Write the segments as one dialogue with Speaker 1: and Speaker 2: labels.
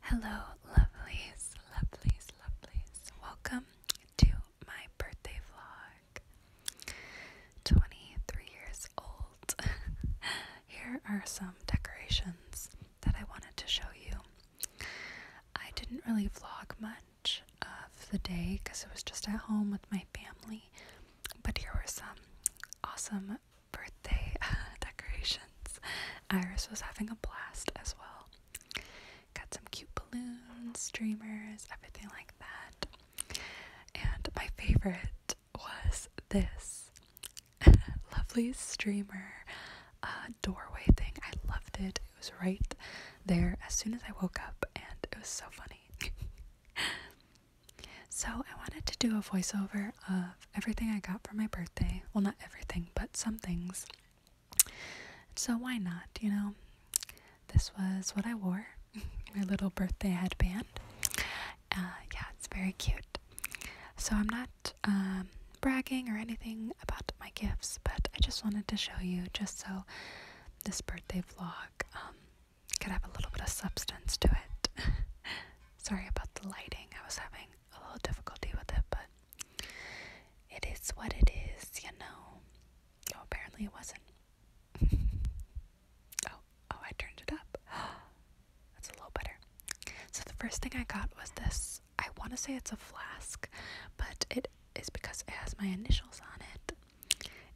Speaker 1: Hello, lovelies, lovelies, lovelies. Welcome to my birthday vlog. 23 years old. Here are some decorations that I wanted to show you. I didn't really vlog much of the day because it was just at home with my family, but here were some awesome birthday uh, decorations. Iris was having a blast as well. Got some cute balloons, streamers, everything like that. And my favorite was this lovely streamer uh, doorway thing. I loved it. It was right there as soon as I woke up, and it was so funny. So, I wanted to do a voiceover of everything I got for my birthday. Well, not everything, but some things. So, why not? You know, this was what I wore my little birthday headband. Uh, yeah, it's very cute. So, I'm not um, bragging or anything about my gifts, but I just wanted to show you just so this birthday vlog um, could have a little bit of substance to it. Sorry about the lighting, I was having a little difficulty with it, but it is what it is, you know. Oh, apparently it wasn't. oh, oh, I turned it up. That's a little better. So the first thing I got was this. I want to say it's a flask, but it is because it has my initials on it.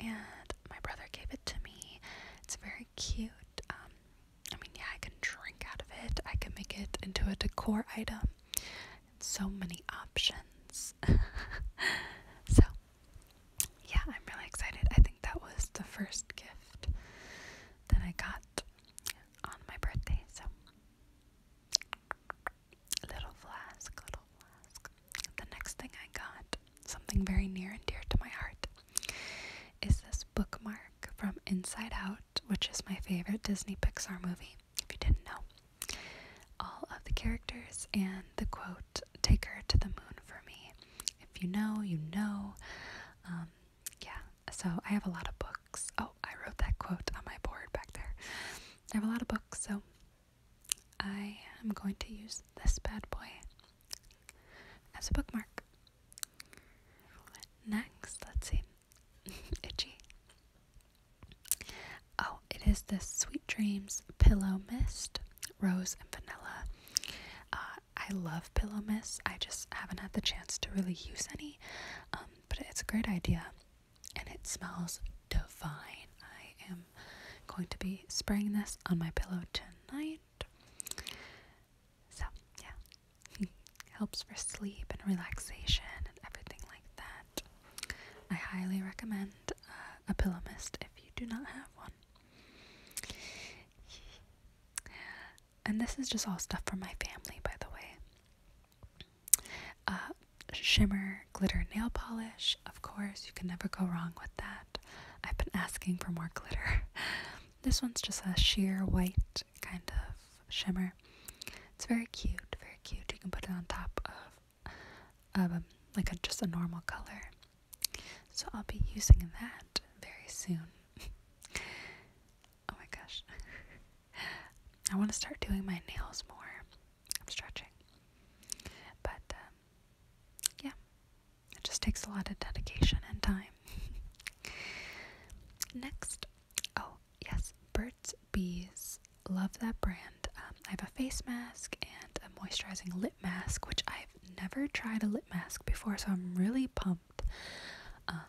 Speaker 1: And my brother gave it to me. It's very cute. Um, I mean, yeah, I can drink out of it, I can make it into a decor item. So many options. so, yeah, I'm really excited. I think that was the first gift that I got on my birthday. So, little flask, little flask the next thing I got, something very near and dear to my heart, is this bookmark from Inside Out, which is my favorite Disney Pixar movie, if you didn't know. All of the characters and the quote, Take her to the moon for me. If you know, you know. Um, yeah, so I have a lot of books. Oh, I wrote that quote on my board back there. I have a lot of books, so I am going to use this bad boy as a bookmark. Next, let's see. Itchy. Oh, it is this Sweet Dreams Pillow Mist, Rose and Vanilla. Uh, I love Pillow Mist. I just haven't had the chance to really use any, um, but it's a great idea and it smells divine. I am going to be spraying this on my pillow tonight. So, yeah, helps for sleep and relaxation and everything like that. I highly recommend uh, a pillow mist if you do not have one. And this is just all stuff for my family, by the way. Uh, shimmer glitter nail polish. Of course, you can never go wrong with that. I've been asking for more glitter. this one's just a sheer white kind of shimmer. It's very cute, very cute. You can put it on top of um, like a, just a normal color. So I'll be using that very soon. oh my gosh. I want to start doing my nails more. I'm stretching. But um, yeah, it just takes a lot of dedication and time. Next, oh yes, Burt's Bees. Love that brand. Um, I have a face mask and a moisturizing lip mask, which I've never tried a lip mask before, so I'm really pumped. Um,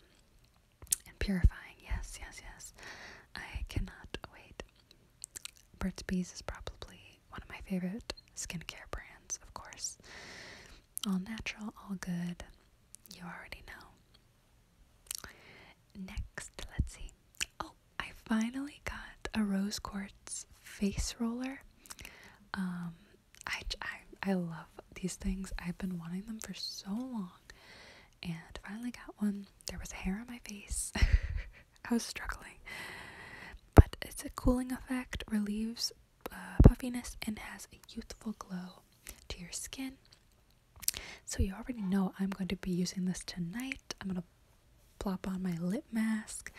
Speaker 1: and purifying, yes, yes, yes. I cannot wait. Burt's Bees is probably one of my favorite skincare brands, of course. All natural, all good. You already know. Next, let's see. Oh, I finally got a rose quartz face roller. Um, I, I, I love these things. I've been wanting them for so long and finally got one. There was hair on my face. I was struggling. But it's a cooling effect, relieves uh, puffiness, and has a youthful glow to your skin. So you already know I'm going to be using this tonight. I'm going to plop on my lip mask.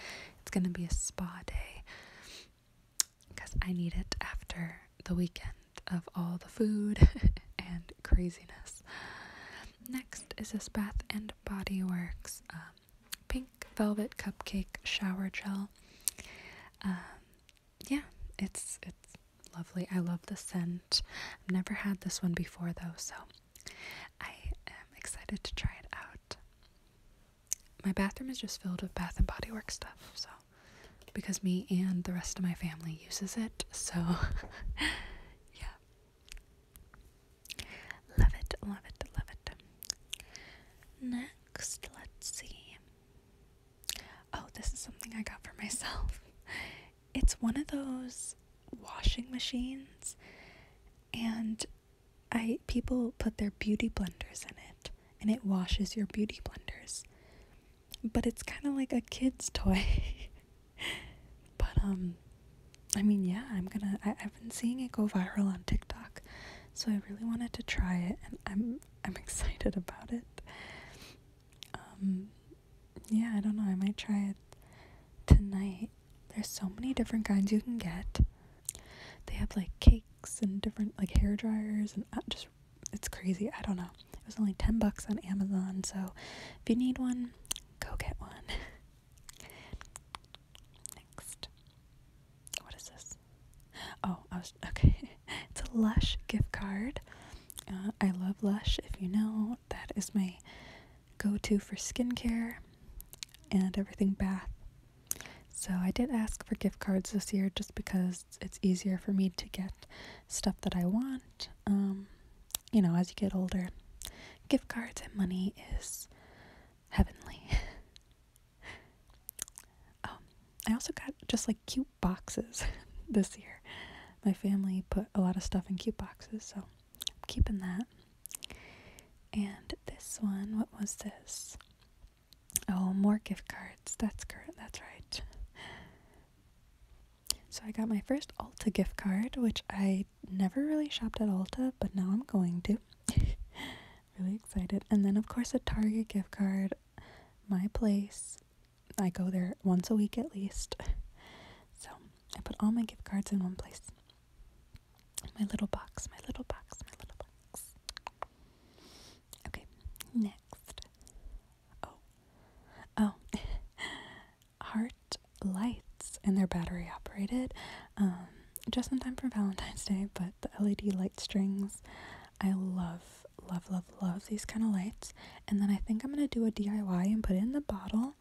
Speaker 1: It's going to be a spa day because I need it after the weekend of all the food and craziness. Next is this Bath and Body Works um, Pink Velvet Cupcake Shower Gel. Um, yeah, it's it's lovely. I love the scent. I've never had this one before though, so I am excited to try it out. My bathroom is just filled with Bath and Body Works stuff, so because me and the rest of my family uses it. So yeah. Love it, love it, love it. Next, let's see. Oh, this is something I got for myself. It's one of those washing machines and I people put their beauty blenders in it and it washes your beauty blenders but it's kind of like a kid's toy. but, um, I mean, yeah, I'm gonna. I, i have been seeing it go viral on TikTok, so I really wanted to try it, and I'm I'm excited about it. Um, yeah, I don't know. I might try it tonight. There's so many different kinds you can get. They have like cakes and different like hair dryers and uh, just it's crazy. I don't know. It was only 10 bucks on Amazon, so if you need one, go get one. Next. What is this? Oh, I was okay. it's a Lush gift card. Uh, I love Lush, if you know. That is my go to for skincare and everything bath. So I did ask for gift cards this year just because it's easier for me to get stuff that I want. Um, you know, as you get older, gift cards and money is heavenly. Um, I also got just like cute boxes this year. My family put a lot of stuff in cute boxes, so I'm keeping that. And this one, what was this? Oh, more gift cards. That's correct. That's right. So I got my first Ulta gift card, which I never really shopped at Ulta, but now I'm going to. really excited. And then of course a Target gift card. My place. I go there once a week at least. So I put all my gift cards in one place. My little box, my little box, my little box. Okay, next. Oh. Oh. Heart lights, and they're battery operated. Um, just in time for Valentine's Day, but the LED light strings. I love, love, love, love these kind of lights. And then I think I'm going to do a DIY and put it in the bottle,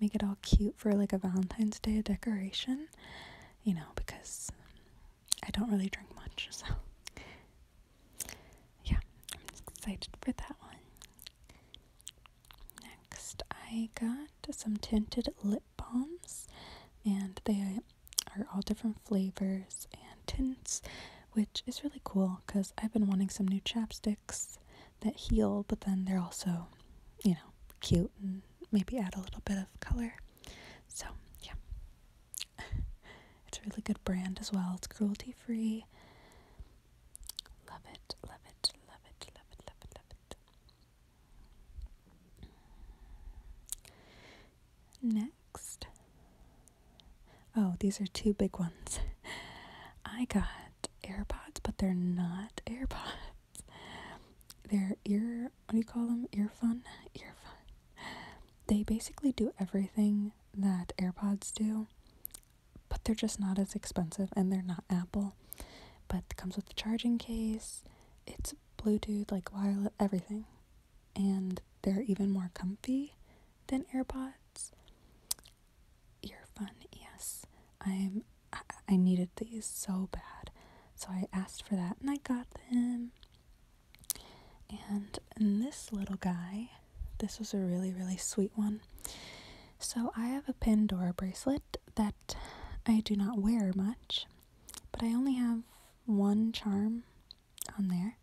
Speaker 1: make it all cute for like a Valentine's Day decoration, you know, because I don't really drink much, so yeah, I'm excited for that one. Next, I got some tinted lip balms, and they are all different flavors and tints, which is really cool because I've been wanting some new chapsticks that heal, but then they're also, you know, cute and maybe add a little bit of color. So, yeah. it's a really good brand as well. It's cruelty free. Love it, love it, love it, love it, love it, love it. Next. Oh, these are two big ones. I got AirPods, but they're not AirPods their ear what do you call them ear fun ear fun they basically do everything that airpods do but they're just not as expensive and they're not apple but comes with a charging case it's bluetooth like wireless everything and they're even more comfy than airpods ear fun yes i'm I, needed these so bad. So I asked for that and I got them. And this little guy, this was a really, really sweet one. So I have a Pandora bracelet that I do not wear much, but I only have one charm on there,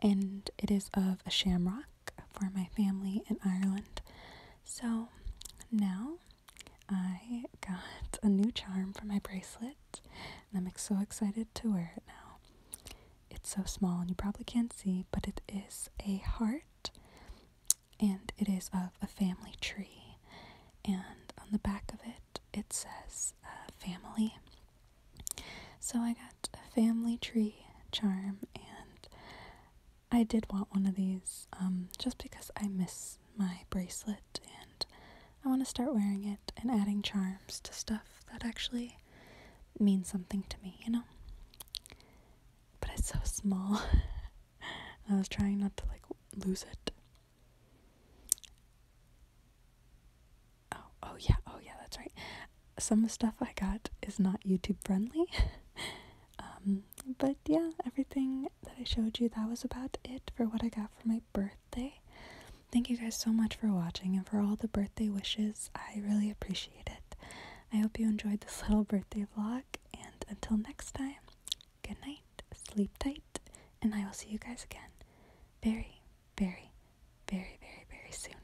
Speaker 1: and it is of a shamrock for my family in Ireland. So now I got a new charm for my bracelet, and I'm so excited to wear it now. It's so small, and you probably can't see, but it is a heart, and it is of a family tree. And on the back of it, it says uh, family. So I got a family tree charm, and I did want one of these um, just because I miss my bracelet and I want to start wearing it and adding charms to stuff that actually means something to me, you know? But it's so small. I was trying not to like lose it. Oh, oh yeah, oh yeah, that's right. Some stuff I got is not YouTube friendly. Um, but yeah, everything that I showed you, that was about it for what I got for my birthday. Thank you guys so much for watching and for all the birthday wishes. I really appreciate it. I hope you enjoyed this little birthday vlog, and until next time, good night, sleep tight, and I will see you guys again very, very, very, very, very soon.